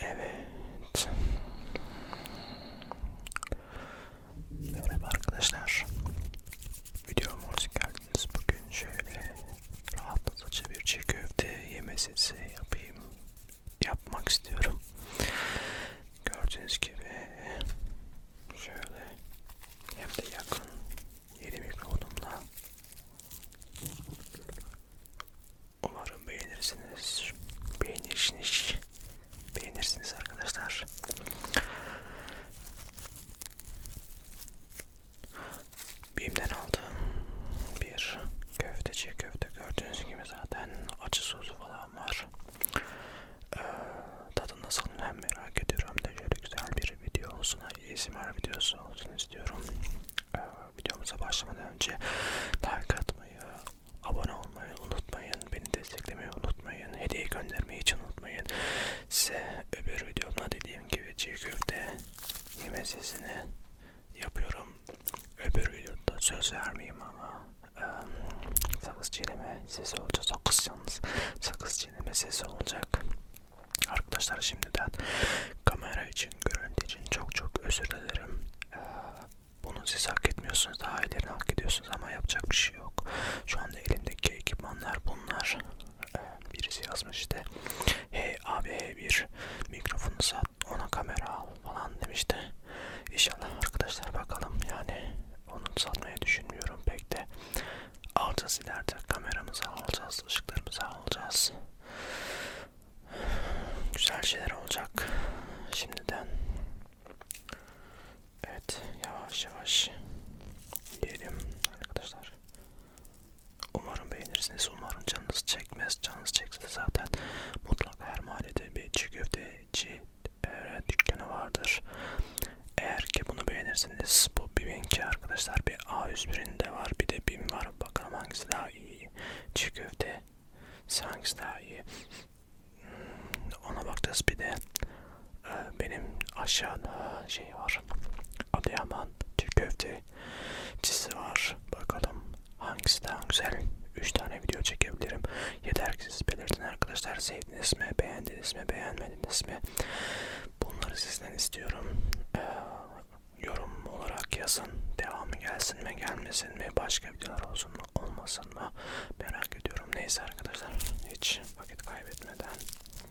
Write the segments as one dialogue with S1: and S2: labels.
S1: Evet. Merhaba arkadaşlar. Videoma hoş geldiniz. Bugün şöyle rahatlatıcı bir çiğ köfte yeme sesi yapayım yapmak istiyorum. Gördüğünüz gibi şöyle hem de yakın yeni mikrodumla umarım beğenirsiniz. Beğenirsiniz. Beğenirsiniz arkadaşlar. Bim'den aldığım bir köfteci köfte gördüğünüz gibi zaten acı sosu falan var. Ee, tadı nasıl hem merak ediyorum hem de şöyle güzel bir video olsun. ASMR videosu olsun istiyorum. Ee, videomuza başlamadan önce like atmayı, abone olmayı unutmayın. Beni desteklemeyi unutmayın. Hediye göndermeyi hiç unutmayın. Size öbür videomda dediğim gibi çiğ köfte yemesini yapıyorum. Öbür videoda söz vermeyeyim ama e, sakız çiğneme sesi olacak. Sakız yalnız sakız çiğneme sesi olacak. Arkadaşlar şimdiden kamera için, görüntü için çok çok özür dilerim. E, bunu siz hak etmiyorsunuz. Daha ilerini hak ediyorsunuz ama yapacak bir şey yok. Şu anda elimdeki ekipmanlar bunlar. E, birisi yazmış işte. Hey abi hey bir almış. Mikrofonu sat ona kamera al falan demişti. İnşallah arkadaşlar bakalım yani onu satmayı düşünmüyorum pek de. Alacağız ileride kameramızı alacağız, ışıklarımızı alacağız. Güzel şeyler olacak şimdiden. Evet yavaş yavaş yiyelim arkadaşlar. Umarım beğenirsiniz. Umarım canınız çekmez. Canınız çekse zaten mutlaka her mahallede bir çiğ köfteci e, dükkanı vardır. Eğer ki bunu beğenirsiniz bu BİM'inki arkadaşlar bir A101'inde var bir de BİM var. Bakalım hangisi daha iyi. Çiğ köfte hangisi daha iyi. Hmm, ona bakacağız bir de e, benim aşağıda şey var. Adıyaman çiğ köfte çizisi var. Bakalım hangisi daha güzel. 3 tane video çekebilirim. Yeter ki siz belirtin arkadaşlar. Sevdiniz mi? Beğendiniz mi? Beğenmediniz mi? Bunları sizden istiyorum. Ee, yorum olarak yazın. Devamı gelsin mi gelmesin mi? Başka videolar olsun mu olmasın mı? Merak ediyorum. Neyse arkadaşlar hiç vakit kaybetmeden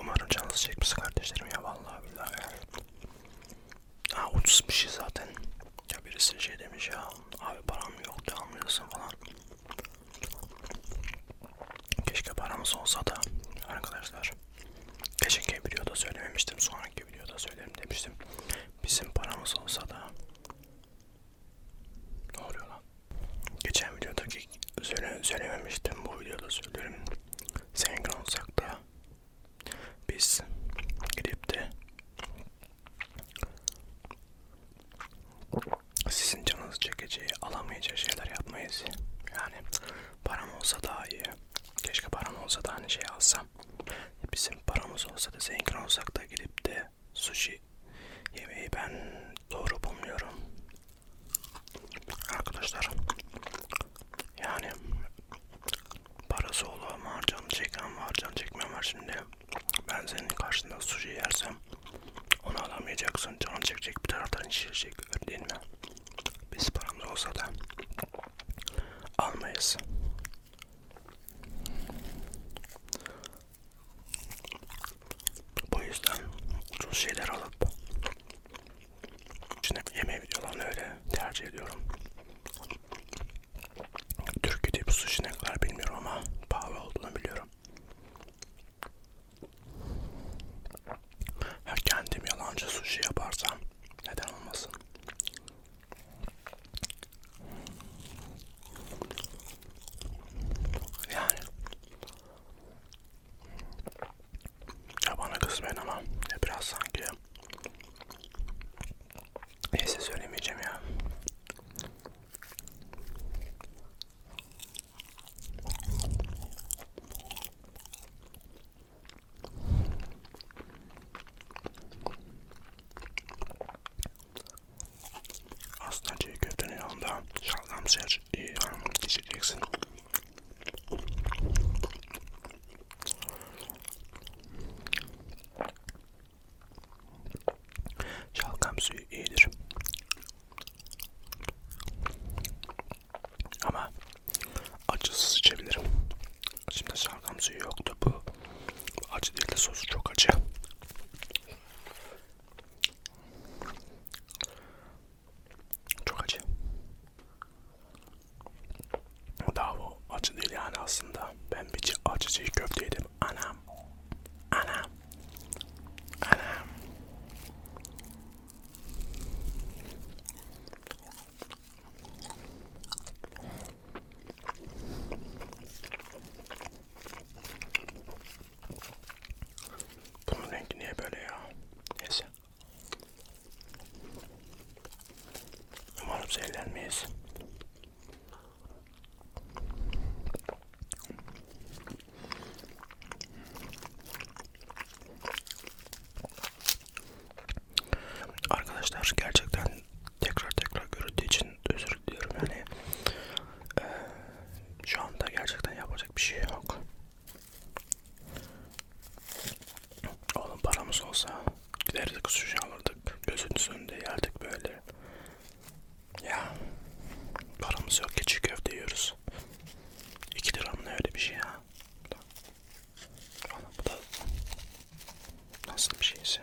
S1: Umarım canınızı çekmez kardeşlerim ya vallahi billahi ya. Ha ucuz bir şey zaten. Ya birisi şey demiş ya abi param yok da almıyorsun falan. Keşke paramız olsa da arkadaşlar. Geçenki videoda söylememiştim. Sonraki videoda söylerim demiştim. Bizim paramız olsa da ne oluyor lan? Geçen videodaki söyle, söylememiştim. Bu videoda söylerim. Zengin olsak da biz gidip de sizin canınız çekeceği, alamayacağı şeyler yapmayız. Yani param olsa daha iyi. Keşke param olsa da hani şey alsam. Bizim paramız olsa da zengin olsak da gidip de sushi yemeği ben doğru bulmuyorum. Arkadaşlar yani parası olan var, canı çeken var, canı çekmeyen var şimdi. Ben senin karşında sushi yersem onu alamayacaksın. Canın çekecek. Bir taraftan şişecek. Öyle değil mi? Biz paramız olsa da almayız. Bu yüzden ucuz şeyler alıp içine yemeği videolarını öyle tercih ediyorum. Türkiye'de bu sushi ne kadar bilmiyorum ama pahalı olduğunu biliyorum. Ha, kendim yalancı sushi yaparsam neden olmasın? Yani ya bana kızmayın ama ya biraz sanki neyse söylemeyeceğim ya aslında çiğ köftenin yanında şalgam ser iyi hanım geçeceksin. Şalgam suyu iyidir. Ama acısız içebilirim. Şimdi şalgam suyu yoktu bu. bu acı değil de sosu çok acı. Çok acı. Daha o acı değil yani aslında. Ben bir acı çiğ köfte yedim. Anam. Anam. Anam. Bunun rengi niye böyle ya? Neyse. Umarım zehirlenmeyiz. Arkadaşlar gerçekten tekrar tekrar görüldüğü için özür diliyorum yani ee, şu anda gerçekten yapacak bir şey yok. Oğlum paramız olsa giderdik sushi alırdık gözünüzün önünde yerdik böyle ya paramız yok ki çiğ köfte yiyoruz. 2 lira mı ne öyle bir şey ya. Ama bu da nasıl bir şeyse.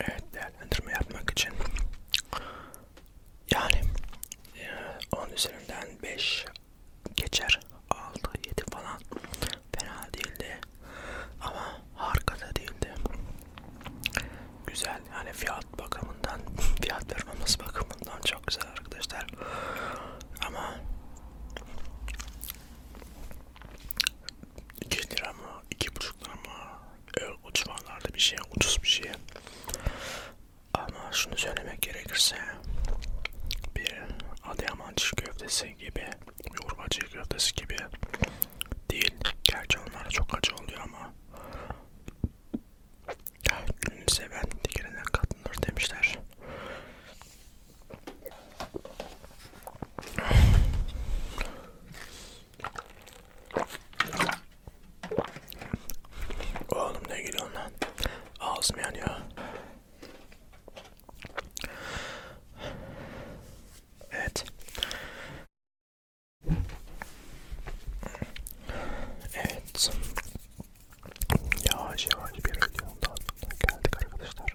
S1: Evet değerlendirme yapmak için yani 10 e, üzerinden 5 geçer 6 7 falan fena değildi ama harika da değildi güzel yani fiyat fiyat bakımından, fiyat performans bakımından çok güzel arkadaşlar. Ama 2 lira mı, 2,5 lira mı e, o civarlarda bir şey, ucuz bir şey. Ama şunu söylemek gerekirse bir Adıyaman çiğ köftesi gibi, yoğurma çiğ köftesi gibi değil. Gerçi onlara çok acı oluyor ama Gülünü seven dikenine katlanır demişler. Oğlum ne gülüyorsun lan? Ağzım yanıyor. Evet. Evet. Yavaş yavaş bir videonun daha sonuna geldik arkadaşlar.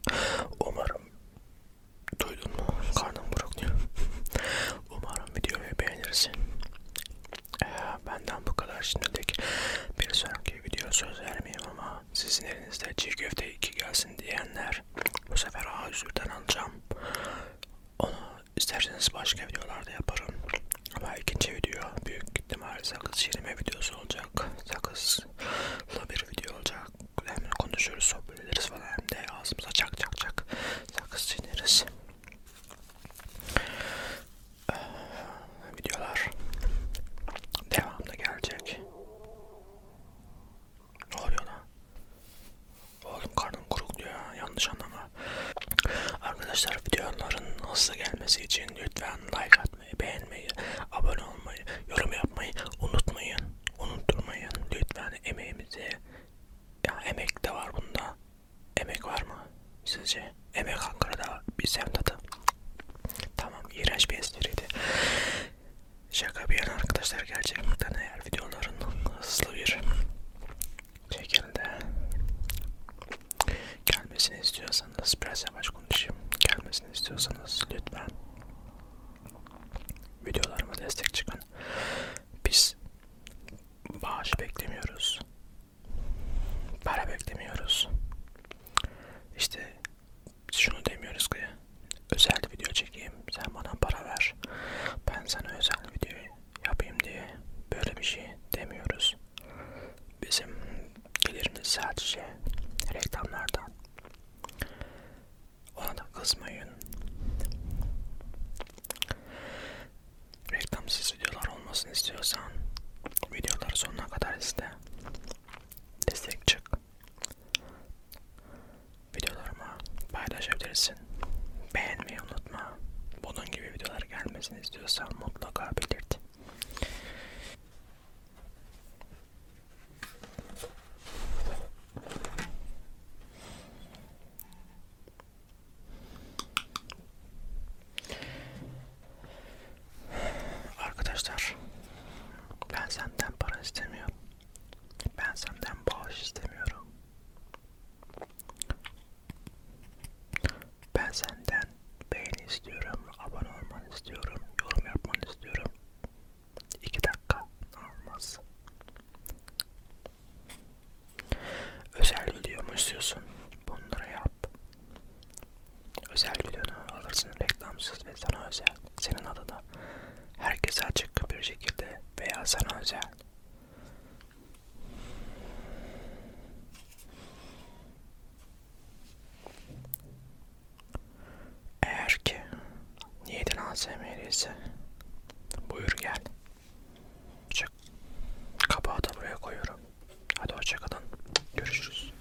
S1: Umarım duydun mu? Karnım burukluyor. Umarım videoyu beğenirsin. Ee, benden bu kadar şimdilik. Bir sonraki video söz vermeyeyim ama sizin elinizde çiğ köfte 2 gelsin diyenler bu sefer A özürden alacağım. Onu İsterseniz başka videolarda yaparım. Ama ikinci video büyük ihtimal sakız çiğneme videosu olacak. Sakızla bir video olacak. Hem konuşuruz, sohbet ederiz falan hem de ağzımıza çak çak çak sakız çiğneriz. Ee, videolar devamlı gelecek. Ne oluyor lan? Oğlum karnım kuruk diyor ya. Yanlış anlama. Arkadaşlar videoların hızlı gelmesi için lütfen like atmayı, beğenmeyi, abone olmayı, yorum yapmayı unutmayın. Unutturmayın. Lütfen emeğimizi. Ya emek de var bunda. Emek var mı sizce? Emek Ankara'da bir semtada. Tamam iğrenç bir espriydi. Şaka bir yana arkadaşlar gerçekten eğer videoların hızlı bir şekilde gelmesini istiyorsanız biraz yavaş konuşayım gelmesini istiyorsanız lütfen videolarıma destek çıkın biz bağış beklemiyoruz para beklemiyoruz işte şunu demiyoruz ki özel video çekeyim sen bana para ver ben sana özel videoyu yapayım diye böyle bir şey demiyoruz. Bizim gelirimiz sadece reklamlardan. Ona da kızmayın. Reklamsız videolar olmasını istiyorsan videoları sonuna kadar iste. Destek çık videolarımı paylaşabilirsin. Beğenmeyi unutma. Bunun gibi videolar gelmesini istiyorsan mutlaka belirt. Arkadaşlar ben senden para istemiyorum. Ben senden bağış istemiyorum. Ben senden beğeni istiyorum, abone olmanı istiyorum, yorum yapmanı istiyorum. İki dakika olmaz. Özel video mu istiyorsun? Bunları yap. Özel videonu alırsın reklamsız ve sana özel. Senin adına herkese açık bir şekilde veya sana özel. Eğer ki niyetin ASMR ise buyur gel. Çık. Kapağı da buraya koyuyorum. Hadi hoşçakalın. Görüşürüz.